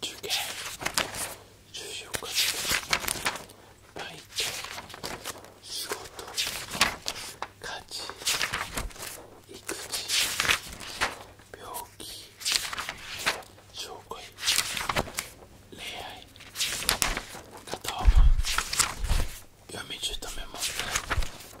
中継14日で仕事家事育児病気障害恋愛片思い読み中止め問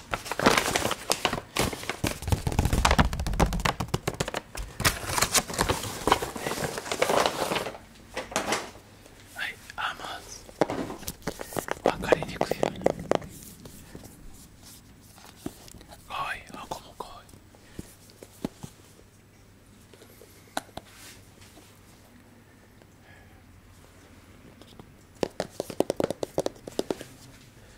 はい、あまず分かりにくいよにかわいいこもかわいい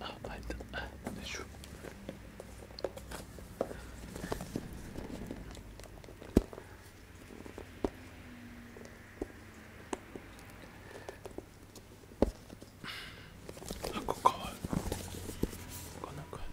あ入ったよいしょなんかかわいいこんな感じ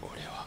俺は。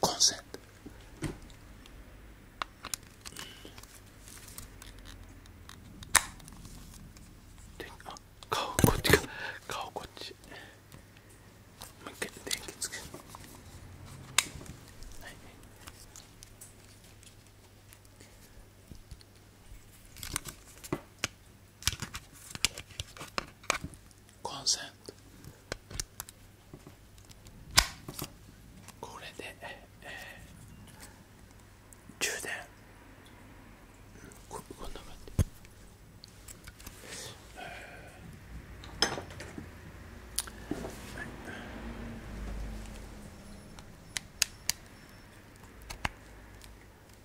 コンセントあ顔こっちか顔こっちもけ、一電気つけるはいコンセントこれで、えー、充電こんな感じ、えー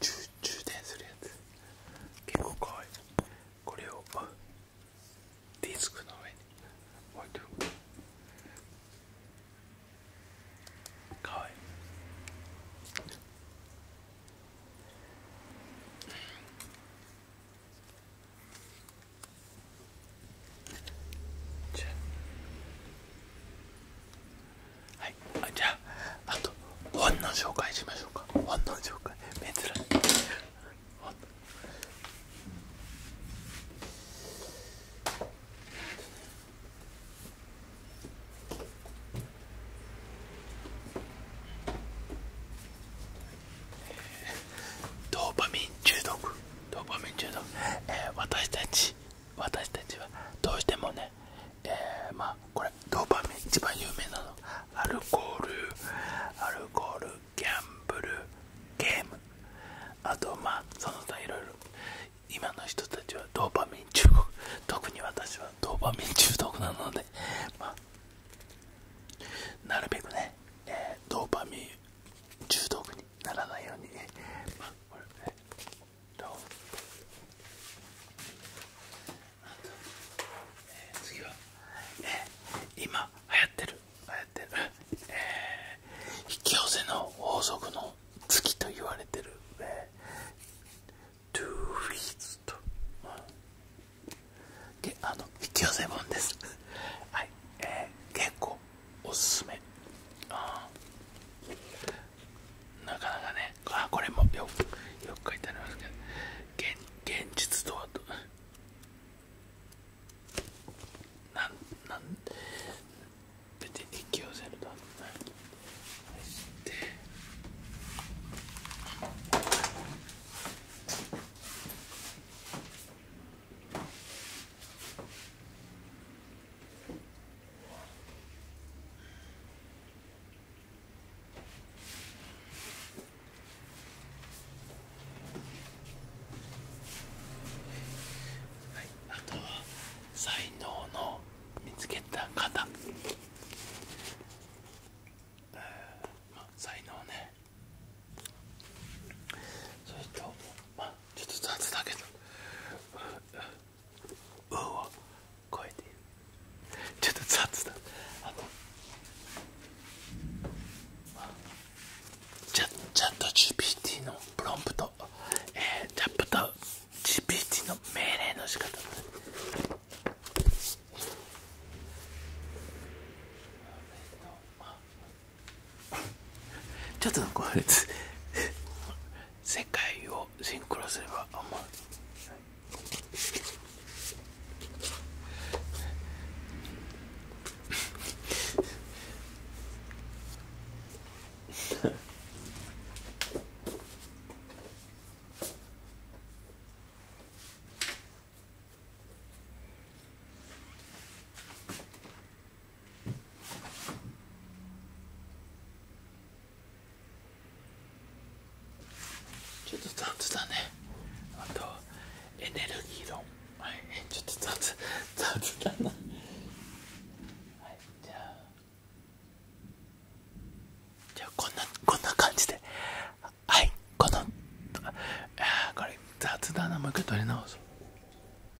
充電するやつ結構かわいいこれをディスクの上に置いておくかわいいはいじゃああと本の紹介しましょうか本の紹介珍しい本ドーパミン中毒ドーパミン中毒、えー、私たち私たちはどうしてもね、えまあこれドーパミン一番有名なのアルコールアルコールギャンブルゲームあとまあその他いろいろ今の人たちはドーパミン中毒特に私はドーパミン中毒なので、まあ、なるべくね、えドーパミン中毒にならないように、ねえ次は、え今流行ってる流行ってる、え引き寄せの法則の月と言われてる、えー、トゥーフィーズと、であの引き寄せ本ですはい、えー、結構おすすめ、うん、なかなかねあこれもよよく書いてありますけど現実とはとなんなん別に引き寄せるとはではい、あとは才能の見つけた方、えーまあ、才能ねそれと、まあ、ちょっと雑だけど「う」を超えてちょっと雑だあのチャット GPT のプロンプトえー、チャット GPT の命令の仕方 ちょっとこれ世界をシンクロすれば思う ちょっと雑だねあとエネルギー論はいちょっと雑雑だなはいじゃあじゃあこんなこんな感じではいこのあこれ雑だなもう一回取り直そう